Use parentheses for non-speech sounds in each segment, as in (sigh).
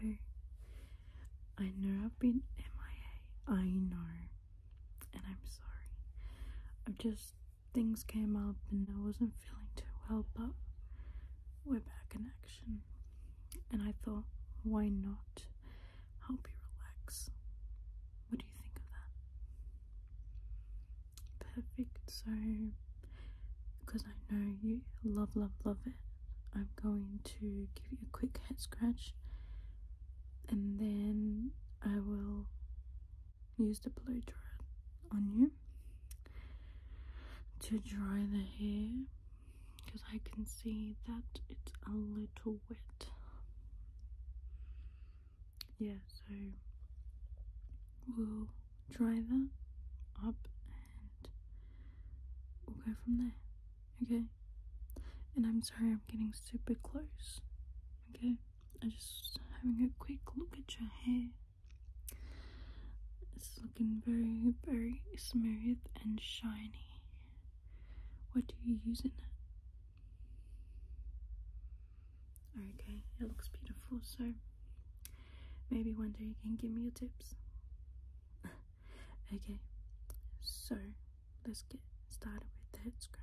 Hello. I know I've been MIA. I know. And I'm sorry. I've just. Things came up and I wasn't feeling too well, but we're back in action. And I thought, why not help you relax? What do you think of that? Perfect. So because I know you love, love, love it. I'm going to give you a quick head scratch and then I will use the blow dryer on you to dry the hair because I can see that it's a little wet. Yeah, so we'll dry that up and we'll go from there. Okay? And I'm sorry I'm getting super close. Okay? I'm just having a quick look at your hair. It's looking very, very smooth and shiny. What do you use in it? Okay, it looks beautiful. So Maybe one day you can give me your tips. (laughs) okay, so let's get started with the head scratch.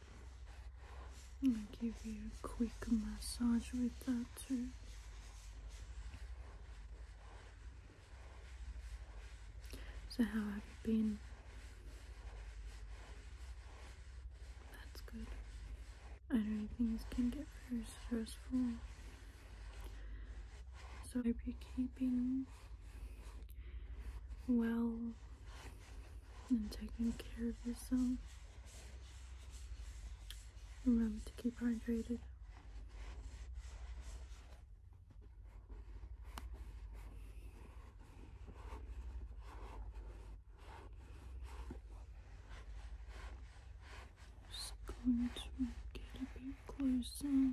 I'll give you a quick massage with that too. So how have you been? That's good. I know things can get very stressful. So I hope you're keeping well and taking care of yourself. Remember to keep hydrated. Just going to get a bit closer.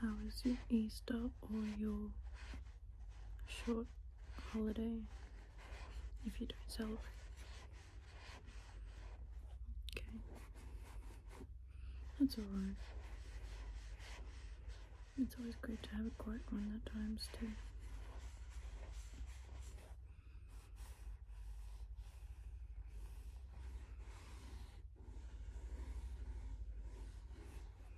How is your Easter or your short holiday? if you don't sell, Okay. That's alright. It's always great to have a quiet one at times too.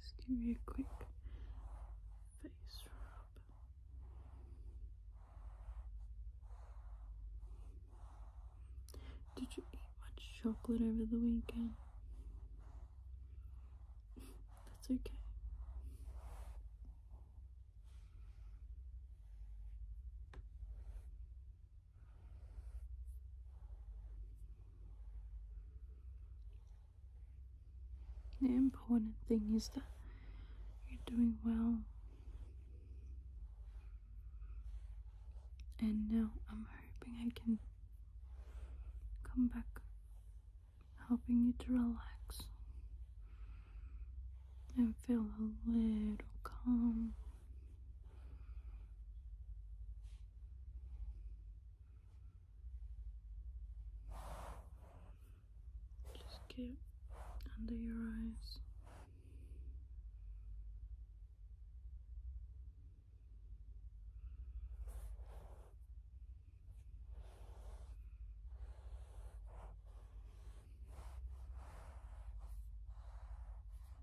Just give me a quick face rub. Did you eat much chocolate over the weekend? That's okay. The important thing is that you're doing well. And now I'm hoping I can come back helping you to relax and feel a little calm. Just get under your eyes.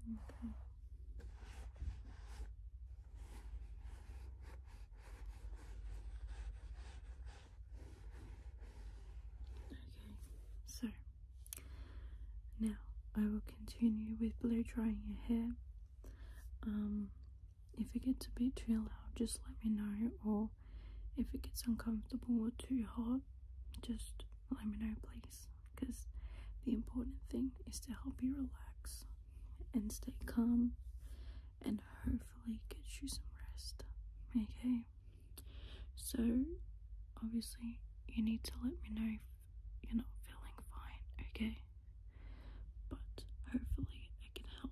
Okay. Okay, so now I will continue with blow drying your hair. Um, if it gets a bit too loud, just let me know, or if it gets uncomfortable or too hot, just let me know, please. Because the important thing is to help you relax and stay calm and hopefully get you some rest. Okay? So, obviously, you need to let me know if you're not feeling fine, okay? But hopefully, I can help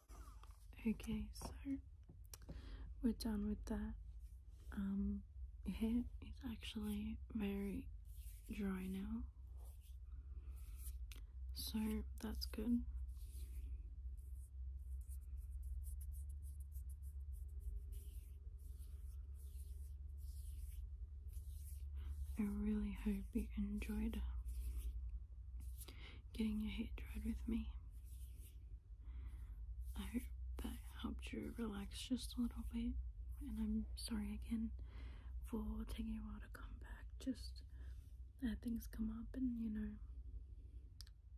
Okay, so we're done with that. Um, your hair is actually very dry now, so that's good. I really hope you enjoyed getting your hair dried with me. I hope that helped you relax just a little bit. And I'm sorry again for taking a while to come back. Just uh, things come up, and you know,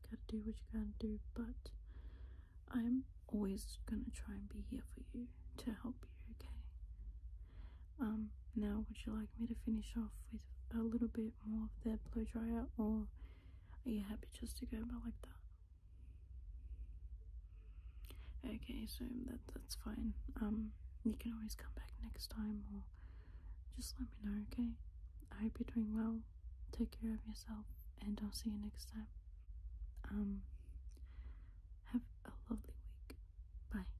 gotta do what you gotta do. But I'm always gonna try and be here for you to help you. Okay. Um. Now, would you like me to finish off with? a little bit more of the blow dryer or are you happy just to go about like that? Okay, so that that's fine. Um you can always come back next time or just let me know, okay? I hope you're doing well. Take care of yourself and I'll see you next time. Um have a lovely week. Bye.